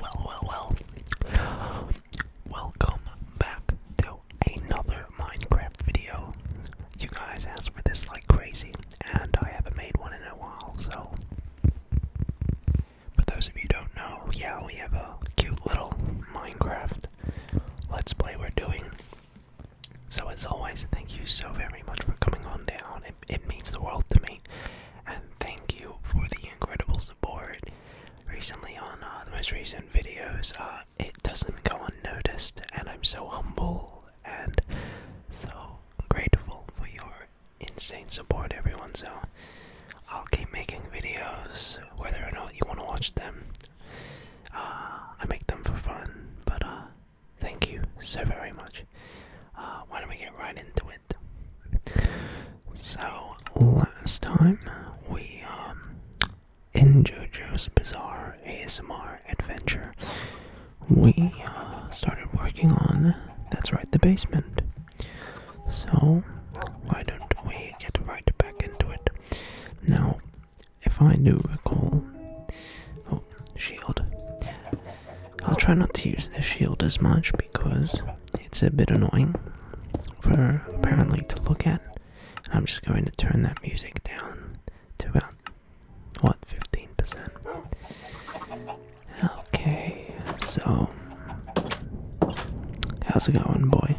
Well, well, well. Welcome back to another Minecraft video. You guys asked for this like crazy, and I haven't made one in a while, so for those of you who don't know, yeah, we have a cute little Minecraft Let's Play we're doing. So, as always, thank you so very much for coming on down. It, it means the world to me. And thank you for the incredible support recently on uh, the most recent videos. Uh, it doesn't go unnoticed, and I'm so humble and so grateful for your insane support, everyone. So I'll keep making videos, whether or not you want to watch them. Uh, I make them for fun, but uh, thank you so very much. Uh, why don't we get right into it? So last time we um in JoJo's Bizarre ASMR Adventure, we uh, started working on that's right the basement so why don't we get right back into it now if i do recall oh shield i'll try not to use this shield as much because it's a bit annoying for apparently to look at and i'm just going to turn that music down to about what 15% Okay, so how's it going, boy?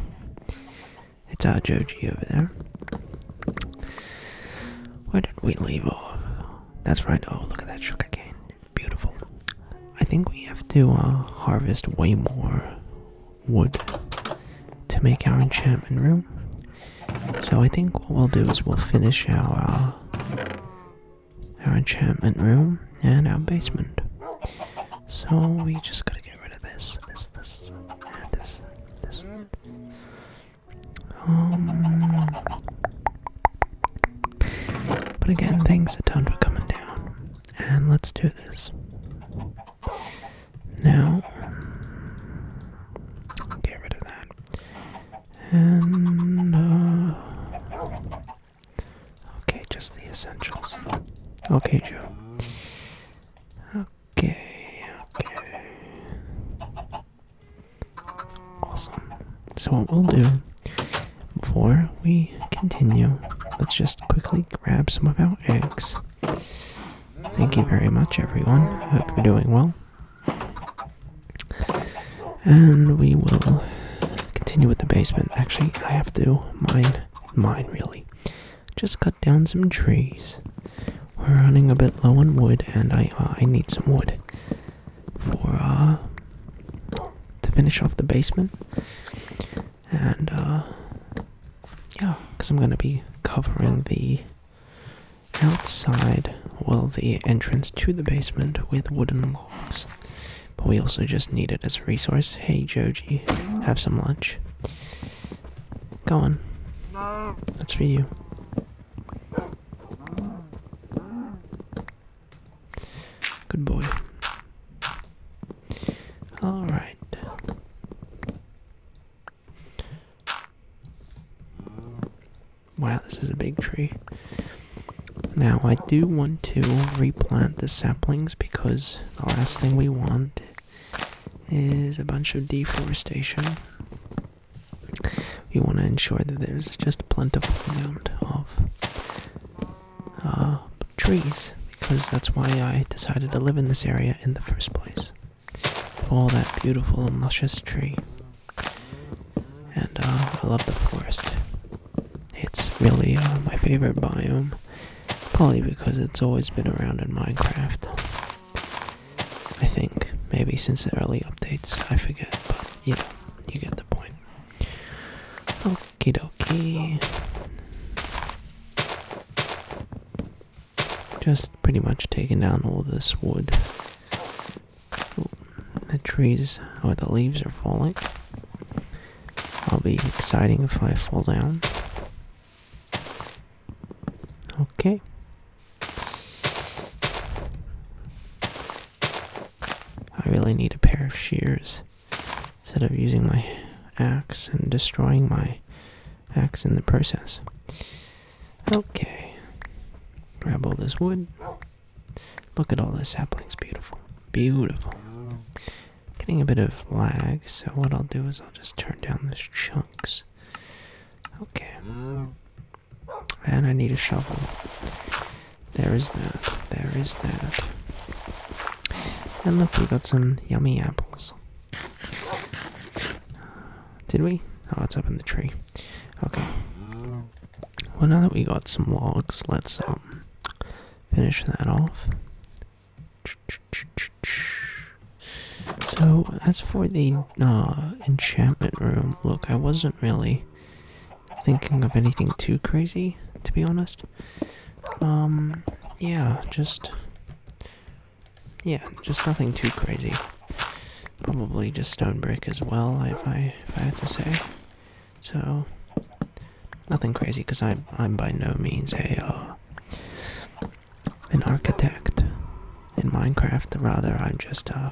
It's our Joji over there. Where did we leave off? That's right. Oh, look at that sugar cane. Beautiful. I think we have to uh, harvest way more wood to make our enchantment room. So I think what we'll do is we'll finish our uh, our enchantment room, and our basement. So we just gotta get rid of this, this, this, this, this. Um, but again, thanks a ton for coming down. And let's do this. Now, get rid of that. And, uh, okay, just the essentials. Okay, Joe. Okay, okay. Awesome. So, what we'll do before we continue, let's just quickly grab some of our eggs. Thank you very much, everyone. Hope you're doing well. And we will continue with the basement. Actually, I have to mine, mine really. Just cut down some trees. We're running a bit low on wood, and I uh, I need some wood for uh, to finish off the basement. And uh, yeah, because I'm gonna be covering the outside, well, the entrance to the basement with wooden but we also just need it as a resource. Hey Joji, have some lunch. Go on. That's for you. Good boy. Alright. Wow, this is a big tree. Now, I do want to replant the saplings because the last thing we want is a bunch of deforestation. We want to ensure that there's just plentiful amount of uh, trees because that's why I decided to live in this area in the first place. All that beautiful and luscious tree. And uh, I love the forest. It's really uh, my favorite biome, probably because it's always been around in Minecraft. I think maybe since the early updates, I forget, but you know, you get the point. Okie dokie. Just pretty much taking down all this wood the trees or the leaves are falling. I'll be exciting if I fall down. Okay. I really need a pair of shears instead of using my axe and destroying my axe in the process. Okay. Grab all this wood. Look at all the saplings, beautiful, beautiful. Getting a bit of lag, so what I'll do is I'll just turn down those chunks. Okay. And I need a shovel. There is that. There is that. And look, we got some yummy apples. Uh, did we? Oh, it's up in the tree. Okay. Well, now that we got some logs, let's um, finish that off. So as for the uh, enchantment room, look, I wasn't really thinking of anything too crazy, to be honest. Um, yeah, just yeah, just nothing too crazy. Probably just stone brick as well, if I if I had to say. So nothing crazy because I'm I'm by no means a uh, an architect in Minecraft. Rather, I'm just uh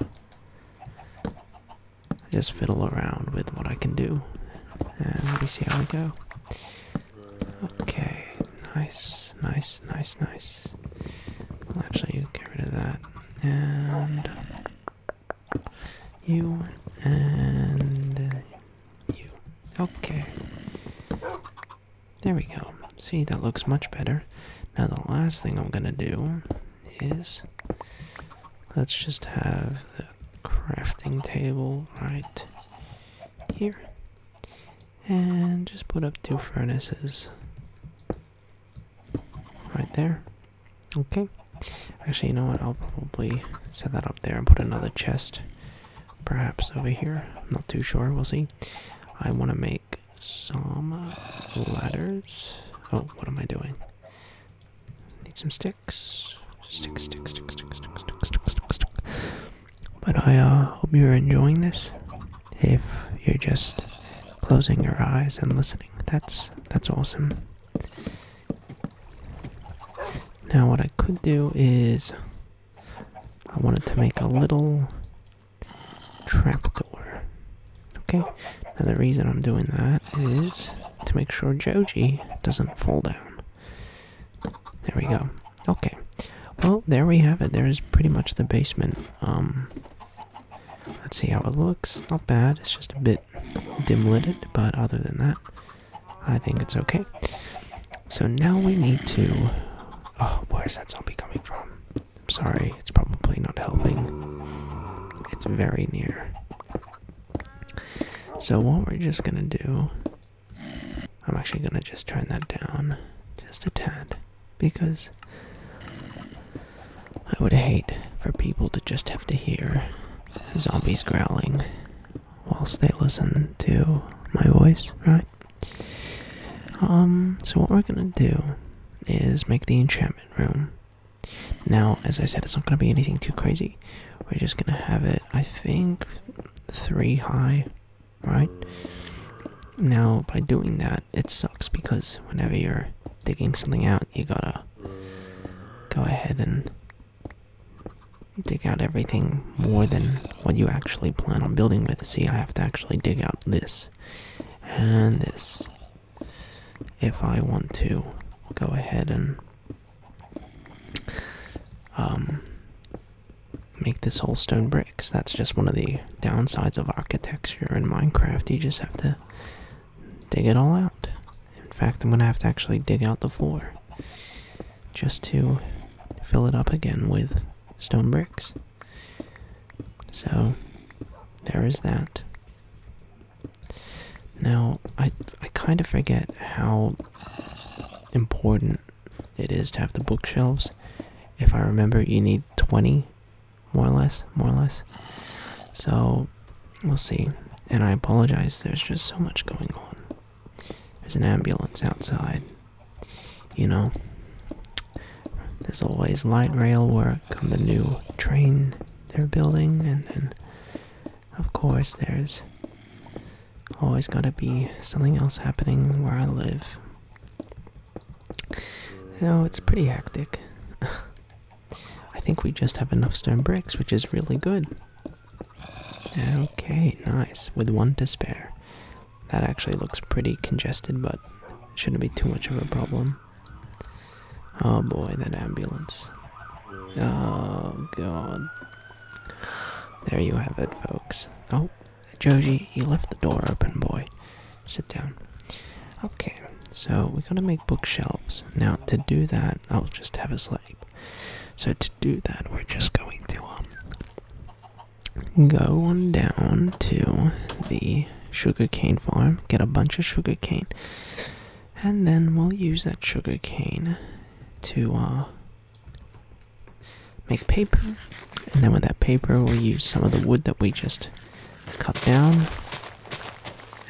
just fiddle around with what I can do, and we see how we go. Okay, nice, nice, nice, nice. We'll get rid of that, and you and you. Okay. There we go. See, that looks much better. Now, the last thing I'm gonna do is let's just have the crafting table right here and just put up two furnaces right there. Okay. Actually, you know what? I'll probably set that up there and put another chest perhaps over here. I'm not too sure. We'll see. I want to make some ladders. Oh, what am I doing? Need some sticks. Stick, stick, stick, stick, stick, stick, stick, stick, stick. But I uh, hope you're enjoying this. If you're just closing your eyes and listening, that's that's awesome. Now, what I could do is I wanted to make a little trapdoor. Okay, now the reason I'm doing that is to make sure Joji doesn't fall down. There we go. Okay, well, there we have it. There is pretty much the basement. Um, let's see how it looks. Not bad, it's just a bit dim lidded, but other than that, I think it's okay. So now we need to. Oh, where's that zombie coming from? I'm sorry, it's probably not helping. It's very near. So, what we're just gonna do. I'm actually gonna just turn that down just a tad because I would hate for people to just have to hear zombies growling whilst they listen to my voice, right? Um, so what we're gonna do is make the enchantment room. Now, as I said, it's not gonna be anything too crazy. We're just gonna have it, I think, three high, right? Now, by doing that, it sucks because whenever you're digging something out, that, you gotta go ahead and dig out everything more than what you actually plan on building with. See, I have to actually dig out this and this if I want to go ahead and um, make this whole stone bricks. That's just one of the downsides of architecture in Minecraft. You just have to dig it all out. In fact, I'm going to have to actually dig out the floor just to fill it up again with stone bricks. So, there is that. Now, I, I kind of forget how important it is to have the bookshelves. If I remember, you need 20, more or less, more or less. So, We'll see. And I apologize, there's just so much going on. There's an ambulance outside. You know, there's always light rail work on the new train they're building, and then, of course, there's always gotta be something else happening where I live. You know, it's pretty hectic. I think we just have enough stone bricks, which is really good. Okay, nice. With one to spare. That actually looks pretty congested, but shouldn't be too much of a problem. Oh boy, that ambulance. Oh god. There you have it, folks. Oh, Joji, you left the door open, boy. Sit down. Okay, so we're gonna make bookshelves. Now, to do that, I'll just have a like so to do that, we're just going to um, go on down to the sugarcane farm, get a bunch of sugarcane, and then we'll use that sugarcane to uh, make paper. And then with that paper, we'll use some of the wood that we just cut down.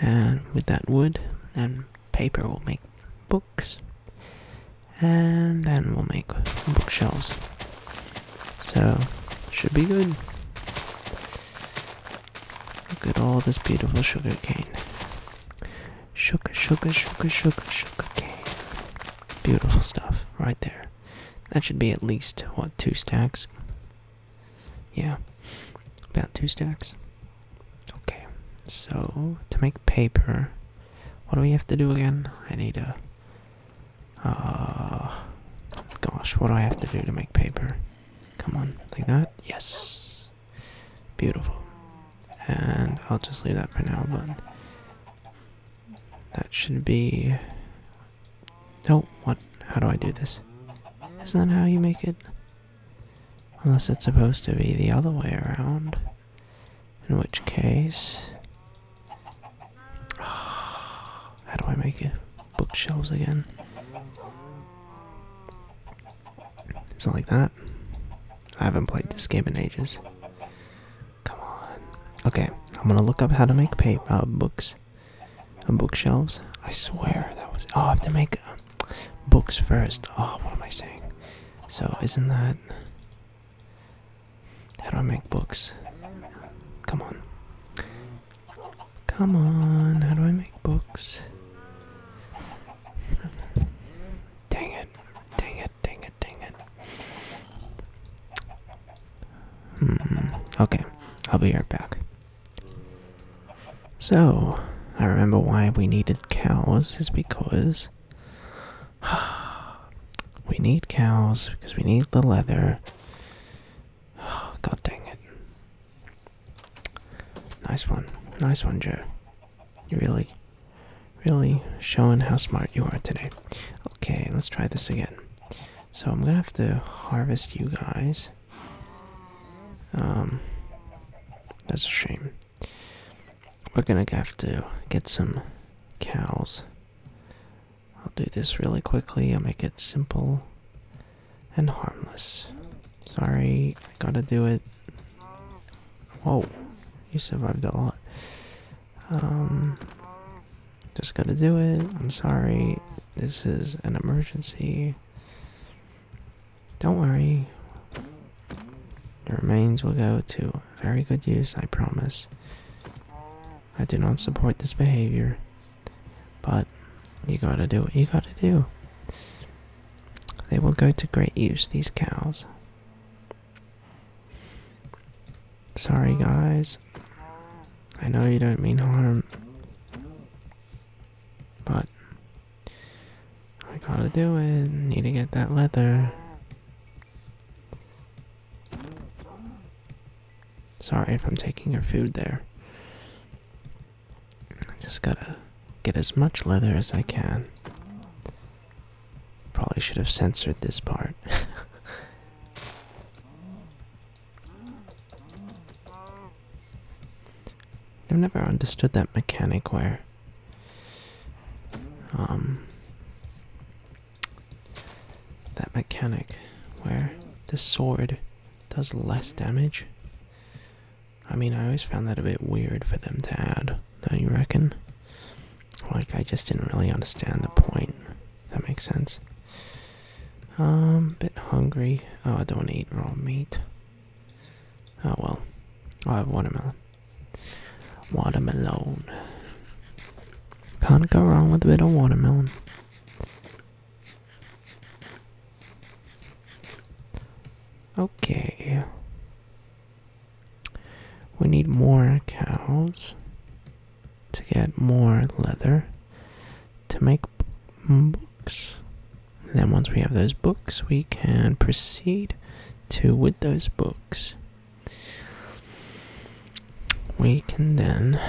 And with that wood and paper, will make books, and then we'll make bookshelves. So, should be good. Look at all this beautiful sugar cane. Sugar, sugar, sugar, sugar, sugar cane. Beautiful stuff right there. That should be at least, what, two stacks? Yeah, about two stacks. Okay, so to make paper, what do we have to do again? I need a. Uh, gosh, what do I have to do to make paper? Come on, like that? Yes! Beautiful. And I'll just leave that for now, but that should be. Oh, what? How do I do this? Isn't that how you make it? Unless it's supposed to be the other way around. In which case. How do I make it? Bookshelves again. It's not like that. I haven't played this game in ages. Come on. Okay, I'm gonna look up how to make paper uh, books, and bookshelves. I swear that was. Oh, I have to make. Um, Books first. Oh, what am I saying? So, isn't that. How do I make books? Come on. Come on, how do I make books? Dang it, dang it, dang it, dang it. Hmm, okay, I'll be right back. So, I remember why we needed cows is because we need cows because we need the leather. God dang it. Nice one. Nice one, Joe. You really, really showing how smart you are today. Okay, let's try this again. So I'm gonna have to harvest you guys. Um, that's a shame. We're gonna have to get some cows. I'll do this really quickly. I'll make it simple and harmless. Sorry, I gotta do it. Whoa, you survived a lot. Um, just gotta do it. I'm sorry. This is an emergency. Don't worry. The remains will go to very good use, I promise. I do not support this behavior. But you gotta do what you gotta do. They will go to great use, these cows. Sorry, guys. I know you don't mean harm. But I gotta do it. Need to get that leather. Sorry if I'm taking your food there. I just gotta get as much leather as I can. Probably should have censored this part. I've never understood that mechanic where um, that mechanic where the sword does less damage. I mean, I always found that a bit weird for them to add, don't you reckon? Like, I just didn't really understand the point. That makes sense. Um, bit hungry. Oh, I don't eat raw meat. Oh well. I have watermelon. Watermelon. Can't go wrong with a bit of watermelon. Okay. We need more cows to get more leather to make books then once we have those books, we can proceed to with those books. We can then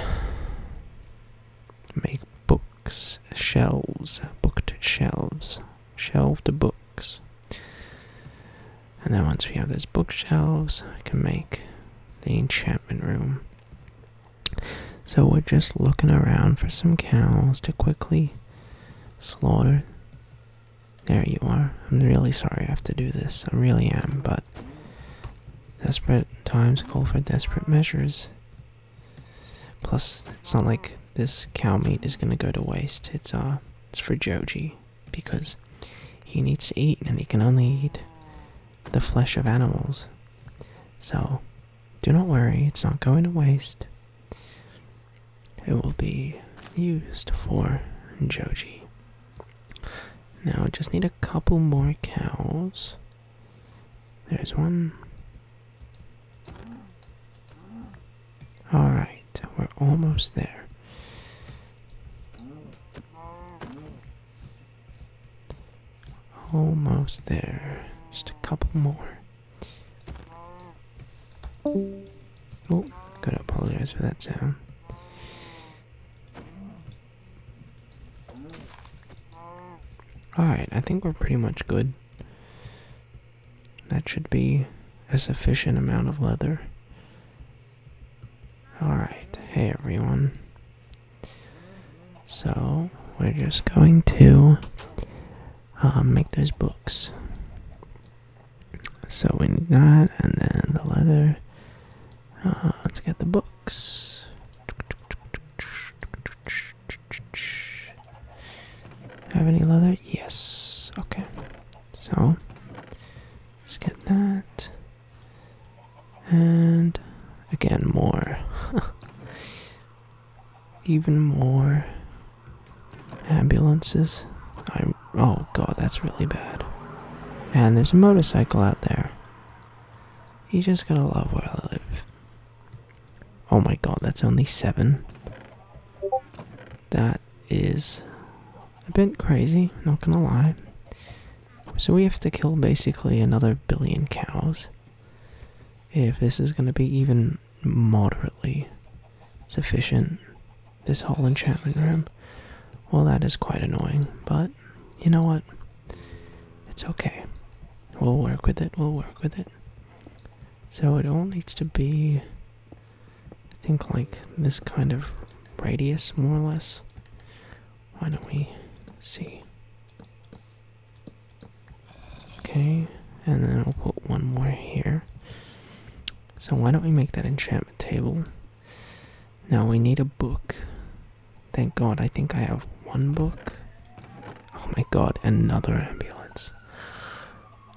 make books, shelves, booked shelves, shelved books. And then once we have those bookshelves, we can make the enchantment room. So we're just looking around for some cows to quickly slaughter there you are. I'm really sorry I have to do this. I really am, but desperate times call for desperate measures. Plus, it's not like this cow meat is gonna go to waste. It's uh it's for Joji because he needs to eat and he can only eat the flesh of animals. So do not worry, it's not going to waste it will be used for Joji. Now, I just need a couple more cows. There's one. Alright, we're almost there. Almost there. Just a couple more. Oh, gotta apologize for that sound. Alright, I think we're pretty much good. That should be a sufficient amount of leather. Alright, hey everyone. So, we're just going to um, make those books. So we need that, and then the leather. Uh, let's get the books. Have any leather? Yes. Okay. So let's get that. And again, more. even more ambulances. I oh god, that's really bad. And there's a motorcycle out there. You just gotta love where I live. Oh my god, that's only seven. That is a bit crazy, not gonna lie. So we have to kill basically another billion cows. If this is gonna be even moderately sufficient. This whole enchantment room, well, that is quite annoying, but you know what? It's okay. We'll work with it, we'll work with it. So it all needs to be, I think, like this kind of radius, more or less. Why don't we see? Okay, and then i will put one more here. So why don't we make that enchantment table? Now we need a book. Thank God, I think I have one book. Oh my God, another ambulance.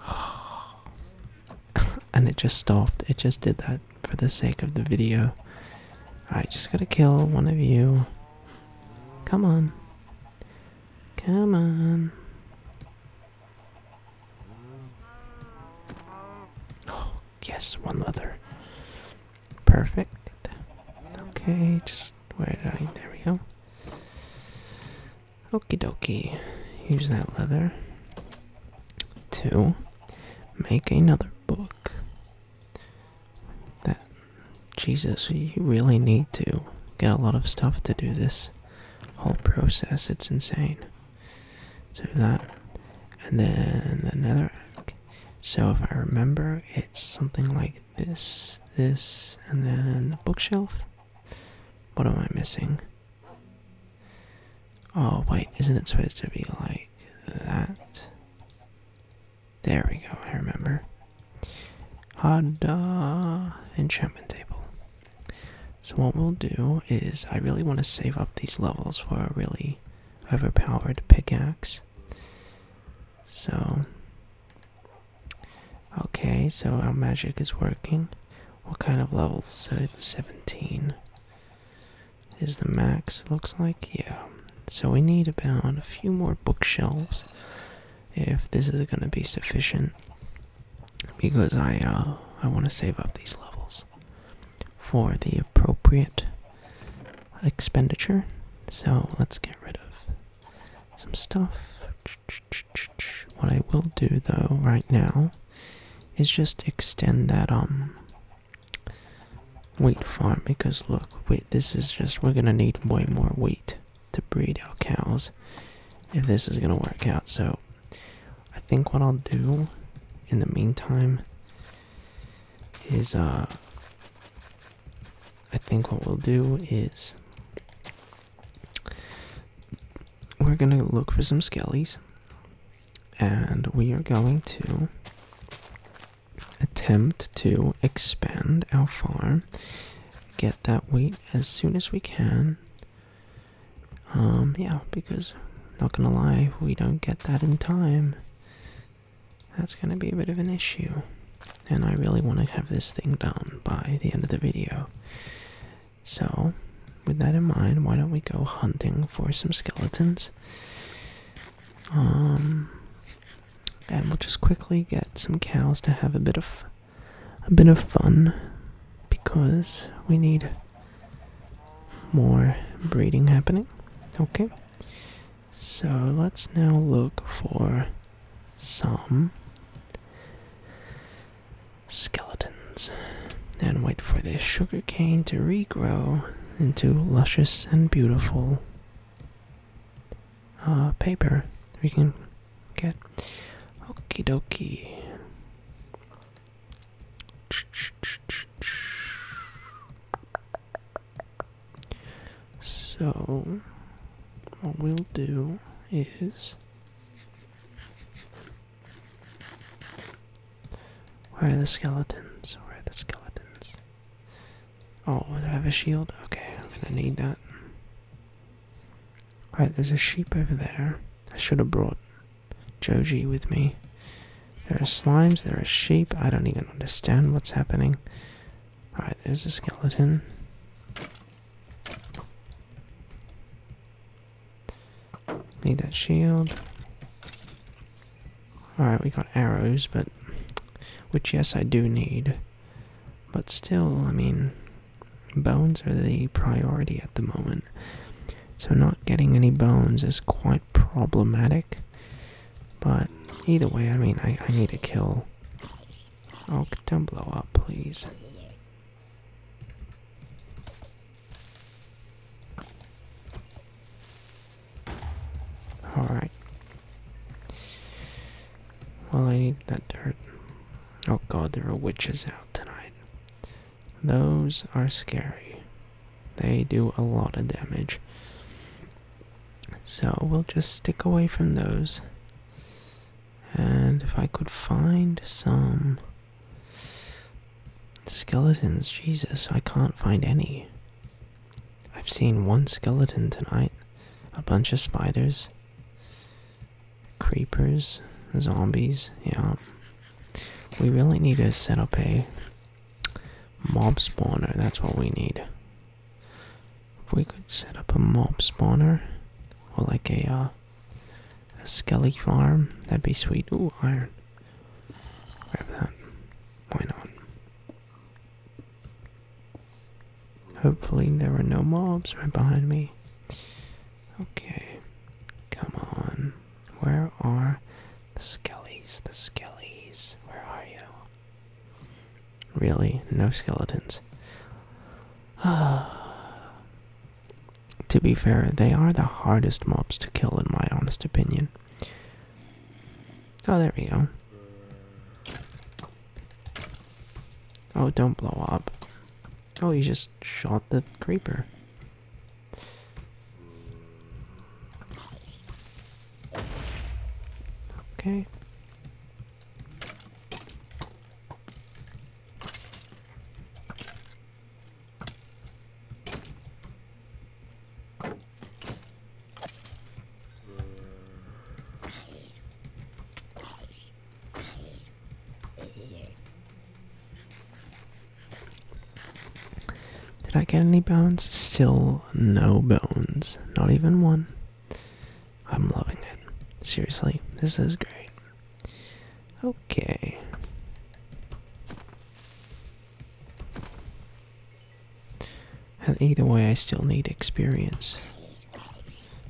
and it just stopped. It just did that for the sake of the video. I just gotta kill one of you. Come on. Come on. Oh, yes, one leather. Perfect. Okay, just where did I? There we go. Okey dokie. Use that leather to make another book. That Jesus, you really need to get a lot of stuff to do this whole process. It's insane. So that, and then another. So if I remember, it's something like this, this, and then the bookshelf. What am I missing? Oh wait, isn't it supposed to be like that? There we go. I remember. Hada enchantment table. So what we'll do is I really want to save up these levels for a really overpowered pickaxe. So okay, so our magic is working. What kind of level? So 17 is the max looks like. Yeah. So we need about a few more bookshelves if this is going to be sufficient because I uh, I want to save up these levels for the appropriate expenditure. So let's get rid of some stuff. What I will do though right now is just extend that um, wheat farm because look, wait, this is just we're gonna need way more wheat to breed our cows if this is gonna work out. So I think what I'll do in the meantime is uh I think what we'll do is we're gonna look for some skellies and we are going to attempt to expand our farm get that wheat as soon as we can um, yeah, because not gonna lie, we don't get that in time, that's gonna be a bit of an issue. And I really want to have this thing done by the end of the video. So, with that in mind, why don't we go hunting for some skeletons? Um, and we'll just quickly get some cows to have a bit of a bit of fun because we need more breeding happening. Okay, so let's now look for some skeletons and wait for this cane to regrow into luscious and beautiful uh, paper we can get. okey dokey. So, what we'll do is. Where are the skeletons? Where are the skeletons? Oh, do I have a shield? Okay, I'm gonna need that. Alright, there's a sheep over there. I should have brought Joji with me. There are slimes, there are sheep. I don't even understand what's happening. Alright, there's a skeleton. Need that shield. Alright, we got arrows, but. Which, yes, I do need. But still, I mean, Bones are the priority at the moment, so not getting any bones is quite problematic. But either way, I mean, I, I need to kill. Oh, don't blow up, please. Alright. Well, I need that dirt. Oh god, there are witches out tonight. Those are scary. They do a lot of damage. So we'll just stick away from those. And if I could find some skeletons, Jesus, I can't find any. I've seen one skeleton tonight, a bunch of spiders, creepers, zombies, yeah. We really need to set up a mob spawner, that's what we need. If we could set up a mob spawner, or like a, uh, a skelly farm, that'd be sweet. Ooh, iron. Grab that. Why not? Hopefully there are no mobs right behind me. Okay, come on. Where are the skellies? The skellies. Where are you? Really? No skeletons. to be fair, they are the hardest mobs to kill, in my honest opinion. Oh, there we go. Oh, don't blow up. Oh, you just shot the creeper. Okay. Did I get any bones? Still no bones. Not even one. I'm loving it. Seriously, this is great. Okay. And either way, I still need experience.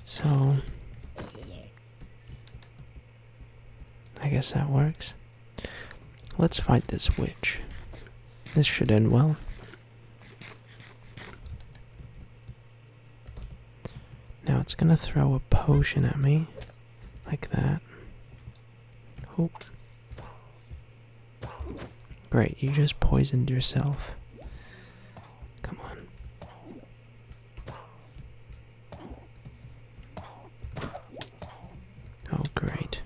So. I guess that works. Let's fight this witch. This should end well. Now it's gonna throw a potion at me. Like that. Oh. Great, you just poisoned yourself. Come on. Oh, great.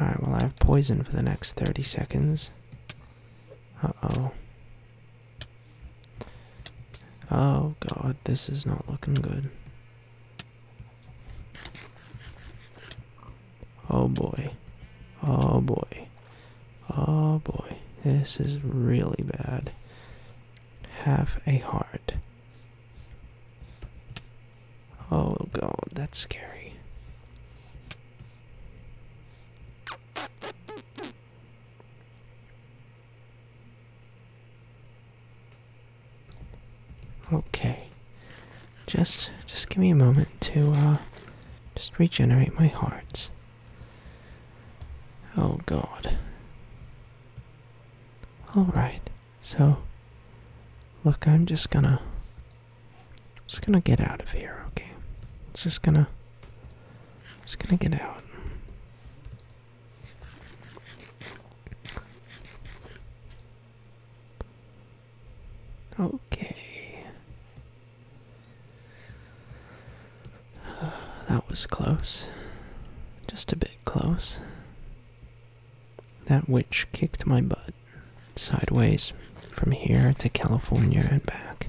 Alright, well, I have poison for the next 30 seconds. Uh oh. Oh god, this is not looking good. Oh boy. Oh boy. Oh boy, this is really bad. Have a heart. Oh god, that's scary. Okay. Just just give me a moment to uh just regenerate my hearts. Oh god. Alright, so look I'm just gonna just gonna get out of here, okay? Just gonna just gonna get out. Okay. that was close. Just a bit close. That witch kicked my butt sideways from here to California and back.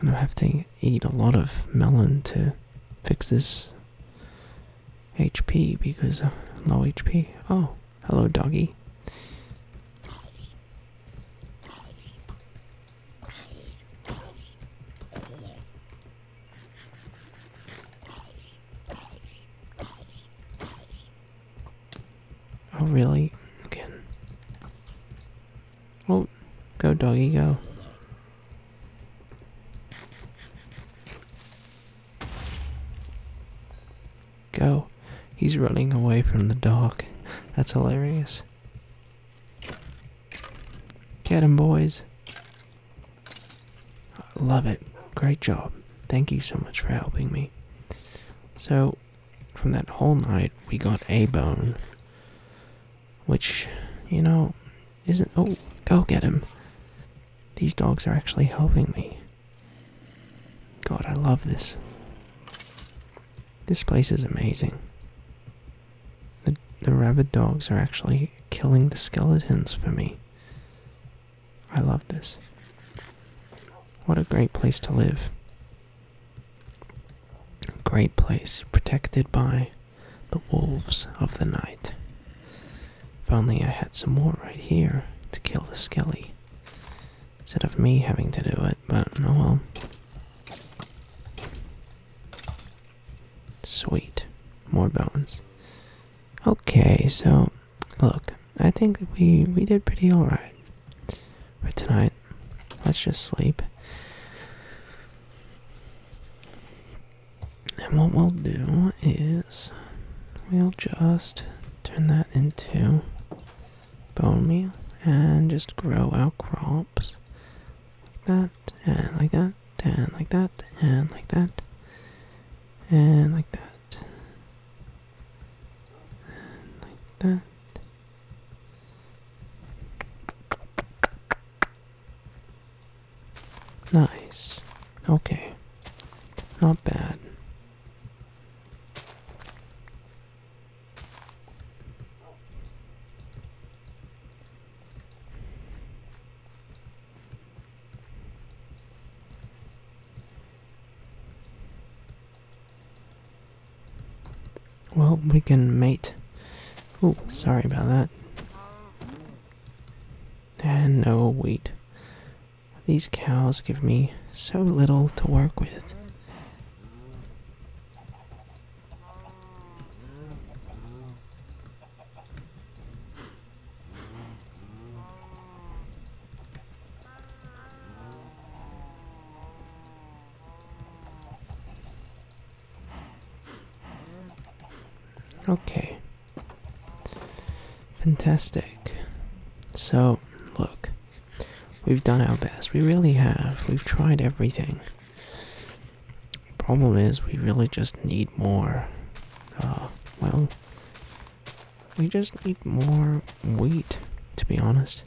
And I have to eat a lot of melon to fix this HP because i low HP. Oh, hello, doggy. Oh, really? Again. Oh, go doggy, go. Go. He's running away from the dog. That's hilarious. Get him, boys. love it. Great job. Thank you so much for helping me. So, from that whole night, we got a bone. Which, you know, isn't. Oh, go get him. These dogs are actually helping me. God, I love this. This place is amazing. The, the rabid dogs are actually killing the skeletons for me. I love this. What a great place to live. Great place, protected by the wolves of the night. Finally, I had some more right here to kill the skelly instead of me having to do it, but oh well. Sweet. More bones. Okay, so look, I think we we did pretty alright But tonight. Let's just sleep. And what we'll do is we'll just turn that into bone meal and just grow our crops like that and like that and like that and like that and like that Nice. Okay. Not bad. Well, we can mate. Oh, sorry about that. And no wheat. These cows give me so little to work with. Okay. Fantastic. So, look. We've done our best. We really have. We've tried everything. Problem is, we really just need more. Uh, well, we just need more wheat, to be honest.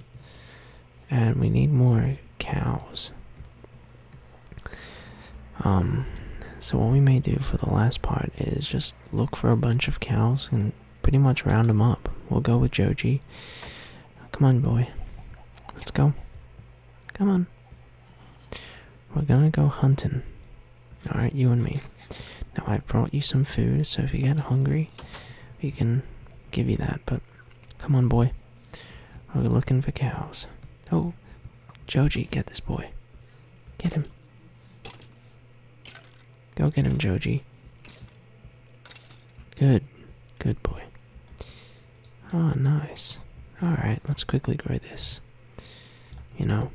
And we need more cows. Um, so what we may do for the last part is just look for a bunch of cows and pretty much round them up. We'll go with Joji Come on, boy. Let's go. Come on. We're gonna go hunting. Alright, you and me. Now, I brought you some food, so if you get hungry, we can give you that. But come on, boy. We're looking for cows. Oh, Joji, get this boy. Get him. Go get him, Joji. Good. Good boy. Ah, oh, nice. Alright, let's quickly grow this. You know,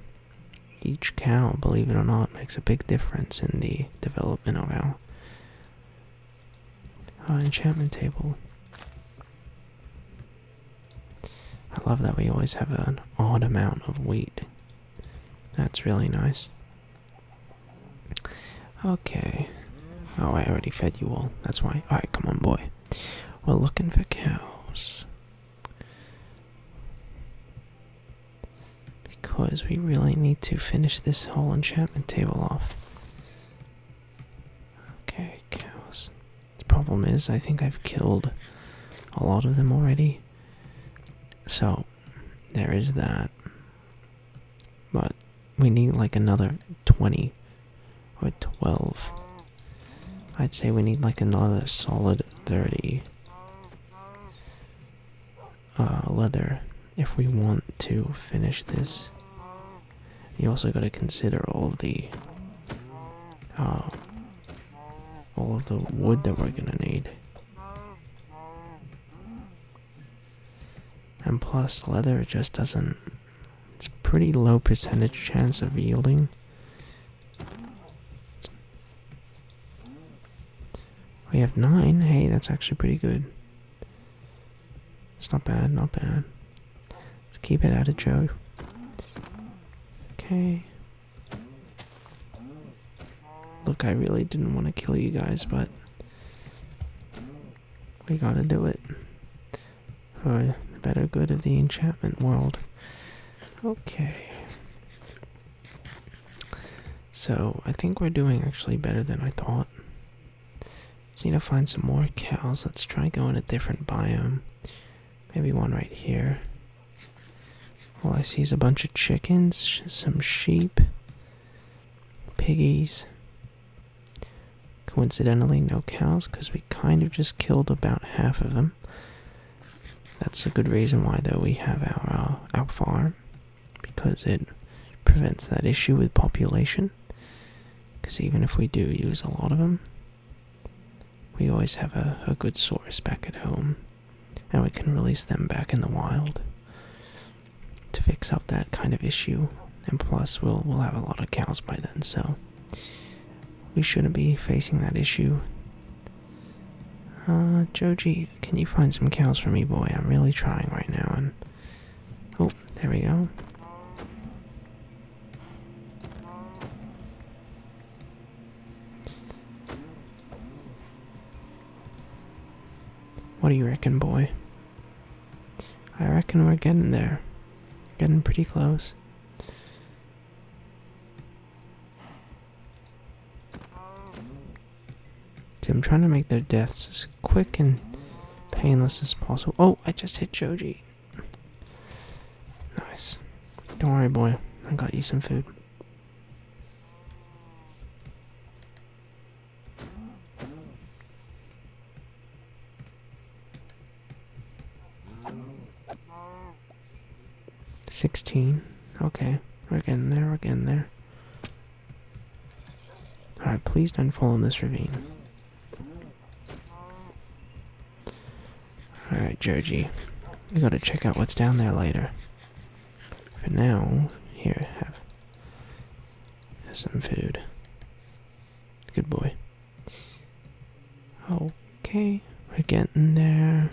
each cow, believe it or not, makes a big difference in the development of our enchantment table. I love that we always have an odd amount of wheat. That's really nice. Okay. Oh, I already fed you all. That's why. Alright, come on, boy. We're looking for cows. Because we really need to finish this whole enchantment table off. Okay, cows. The problem is, I think I've killed a lot of them already. So, there is that. But we need like another 20 or 12. I'd say we need like another solid 30 uh, leather if we want to finish this. You also got to consider all the uh, all of the wood that we're gonna need. And plus, leather just doesn't. It's a pretty low percentage chance of yielding. We have nine. Hey, that's actually pretty good. It's not bad, not bad. Let's keep it out of Joe. Okay. Look, I really didn't want to kill you guys, but we gotta do it. For the better good of the enchantment world. Okay. So, I think we're doing actually better than I thought. Just need to find some more cows. Let's try going a different biome. Maybe one right here. Well, I see is a bunch of chickens, some sheep, piggies, Coincidentally, no cows because we kind of just killed about half of them. That's a good reason why, though, we have our, uh, our farm because it prevents that issue with population. Because even if we do use a lot of them, we always have a, a good source back at home and we can release them back in the wild to fix up that kind of issue. And plus, we'll we'll have a lot of cows by then, so we shouldn't be facing that issue. Uh, Joji, can you find some cows for me, boy? I'm really trying right now. And oh, there we go. What do you reckon, boy? I reckon we're getting there. Getting pretty close. See, I'm trying to make their deaths as quick and painless as possible. Oh, I just hit Joji. Nice. Don't worry, boy. I got you some food. 16. Okay. We're getting there. We're getting there. Alright, please don't fall in this ravine. Alright, Georgie. We gotta check out what's down there later. For now, here, I have have some food. Good boy. Okay, we're getting there.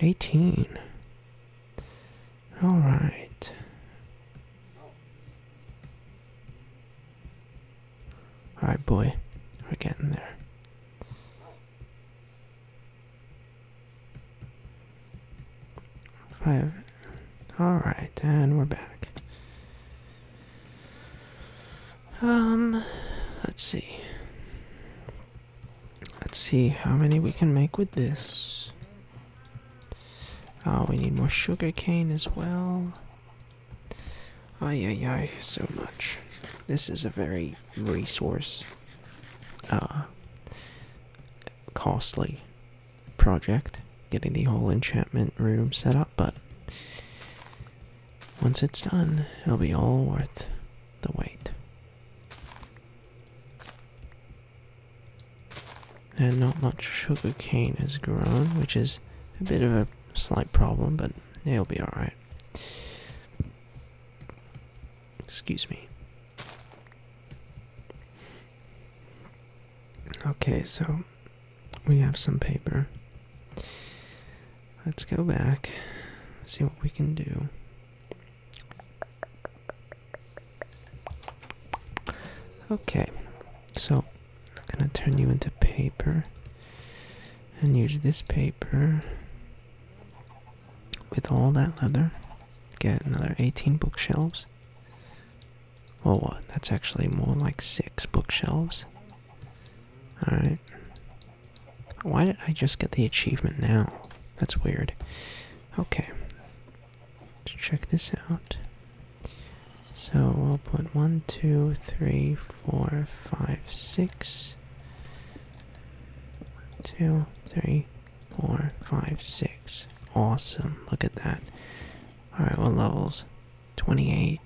Eighteen. All right. All right, boy. We're getting there. Five. All right, and we're back. Um, let's see. Let's see how many we can make with this. Oh, we need more sugar cane as well. Oh yeah, yeah. so much. This is a very resource, uh, costly project getting the whole enchantment room set up, but once it's done, it'll be all worth the wait. And not much sugar cane has grown, which is a bit of a slight problem, but it'll be alright. Excuse me. Okay, so we have some paper. Let's go back, see what we can do. Okay, so I'm gonna turn you into paper and use this paper with all that leather, get another 18 bookshelves. Well, what? That's actually more like six bookshelves. Alright. Why did I just get the achievement now? That's weird. Okay. Let's check this out. So we'll put one, two, three, four, five, six, two, three, four, five, six. Awesome. Look at that. Alright, what levels? 28.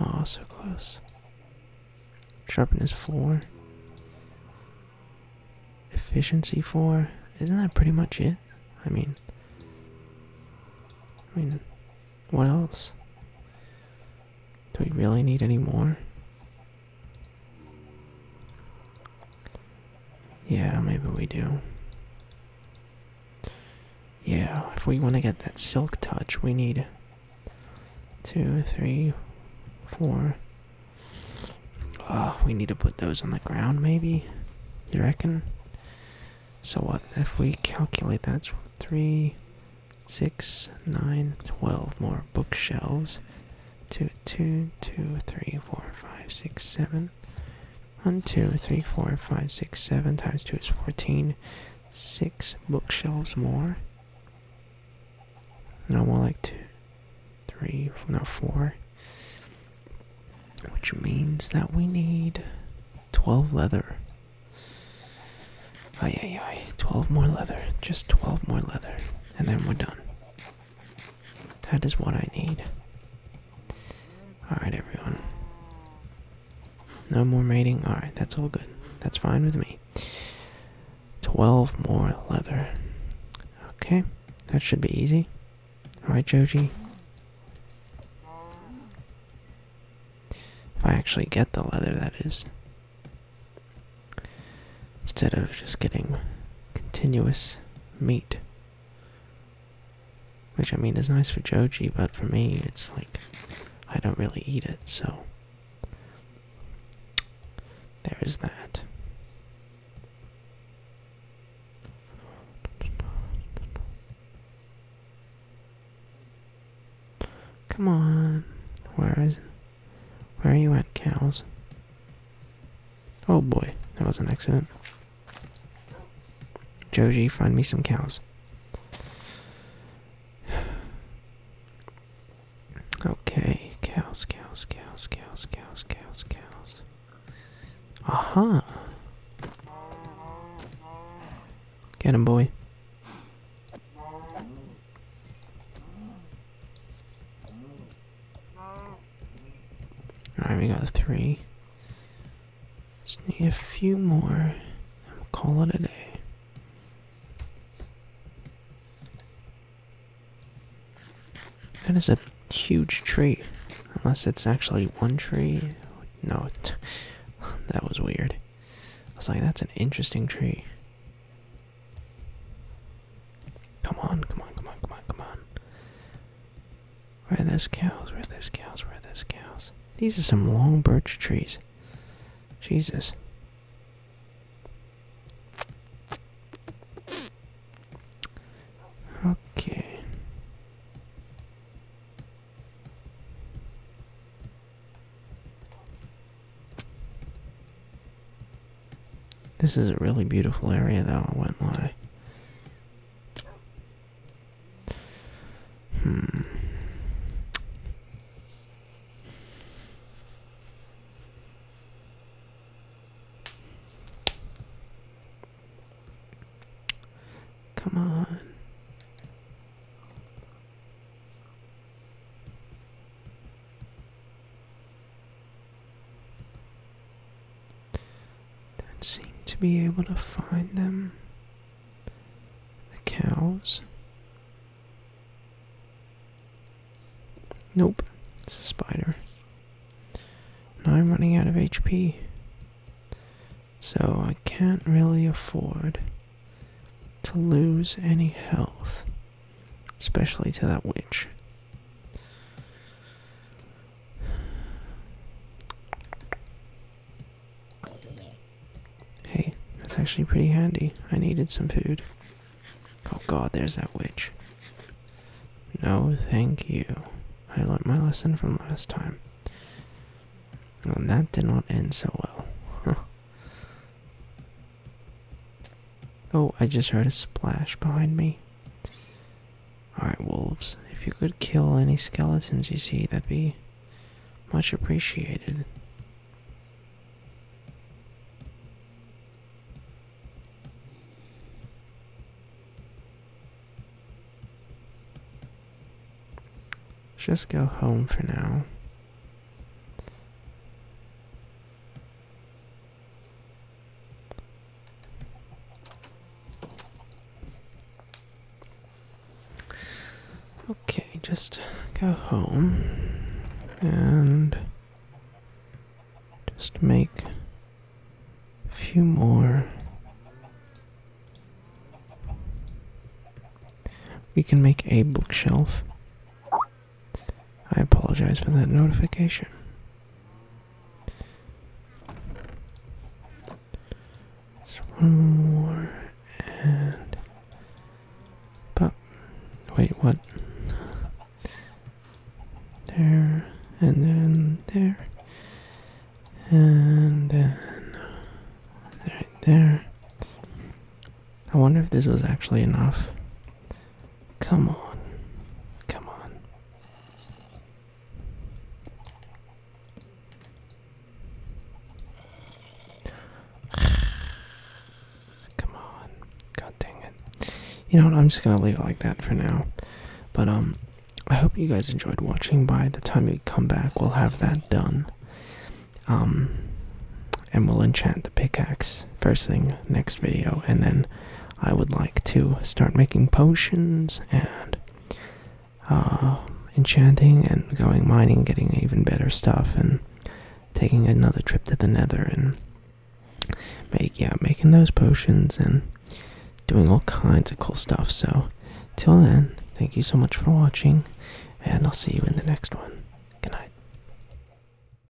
Oh, so close. Sharpen 4. Efficiency 4. Isn't that pretty much it? I mean, I mean, what else? Do we really need any more? Yeah, maybe we do. Yeah, if we want to get that silk touch, we need two, three, four. Uh, we need to put those on the ground, maybe? You reckon? So what if we calculate that's three, six, nine, twelve more bookshelves. Two, two, two, three, four, five, six, seven. One, two, three, four, five, six, seven times two is fourteen. Six bookshelves more. No, more like two, three, no, four. Which means that we need twelve leather. Ay, 12 more leather. Just 12 more leather. And then we're done. That is what I need. Alright, everyone. No more mating? Alright, that's all good. That's fine with me. 12 more leather. Okay, that should be easy. Alright, Joji. If I actually get the leather, that is instead of just getting continuous meat. Which I mean is nice for Joji, but for me it's like I don't really eat it, so there is that. Come on, where is it? Where are you at, cows? Oh boy, that was an accident. Joji, find me some cows. Okay, cows, cows, cows, cows, cows, cows, cows. Aha! Get him, boy. Alright, we got three. Just need a few more. We'll call it a day. That is a huge tree. Unless it's actually one tree. No, that was weird. I was like, that's an interesting tree. Come on, come on, come on, come on, come on. Where are those cows? Where are those cows? Where are those cows? These are some long birch trees. Jesus. Okay. This is a really beautiful area though, I won't lie. Hmm. Come on. Don't seem to be able to find them. The cows. Nope, it's a spider. I'm running out of HP. So I can't really afford to lose any health. Especially to that witch. Hey, that's actually pretty handy. I needed some food. Oh god, there's that witch. No, thank you. I learned my lesson from last time. And that did not end so well. Oh, I just heard a splash behind me. Alright, wolves, if you could kill any skeletons you see, that'd be much appreciated. Just go home for now. Okay, just go home and just make a few more. We can make a bookshelf. I apologize for that notification. one more and but wait what there and then there and then right there. I wonder if this was actually enough. Come on. Come on. Come on. God dang it. You know what? I'm just going to leave it like that for now. But, um, I hope you guys enjoyed watching. By the time you come back, we'll have that done. Um, and we'll enchant the pickaxe first thing next video. And then I would like to start making potions and uh, enchanting and going mining, getting even better stuff, and taking another trip to the Nether and yeah making those potions and doing all kinds of cool stuff. So till then, thank you so much for watching, and I'll see you in the next one. Good night.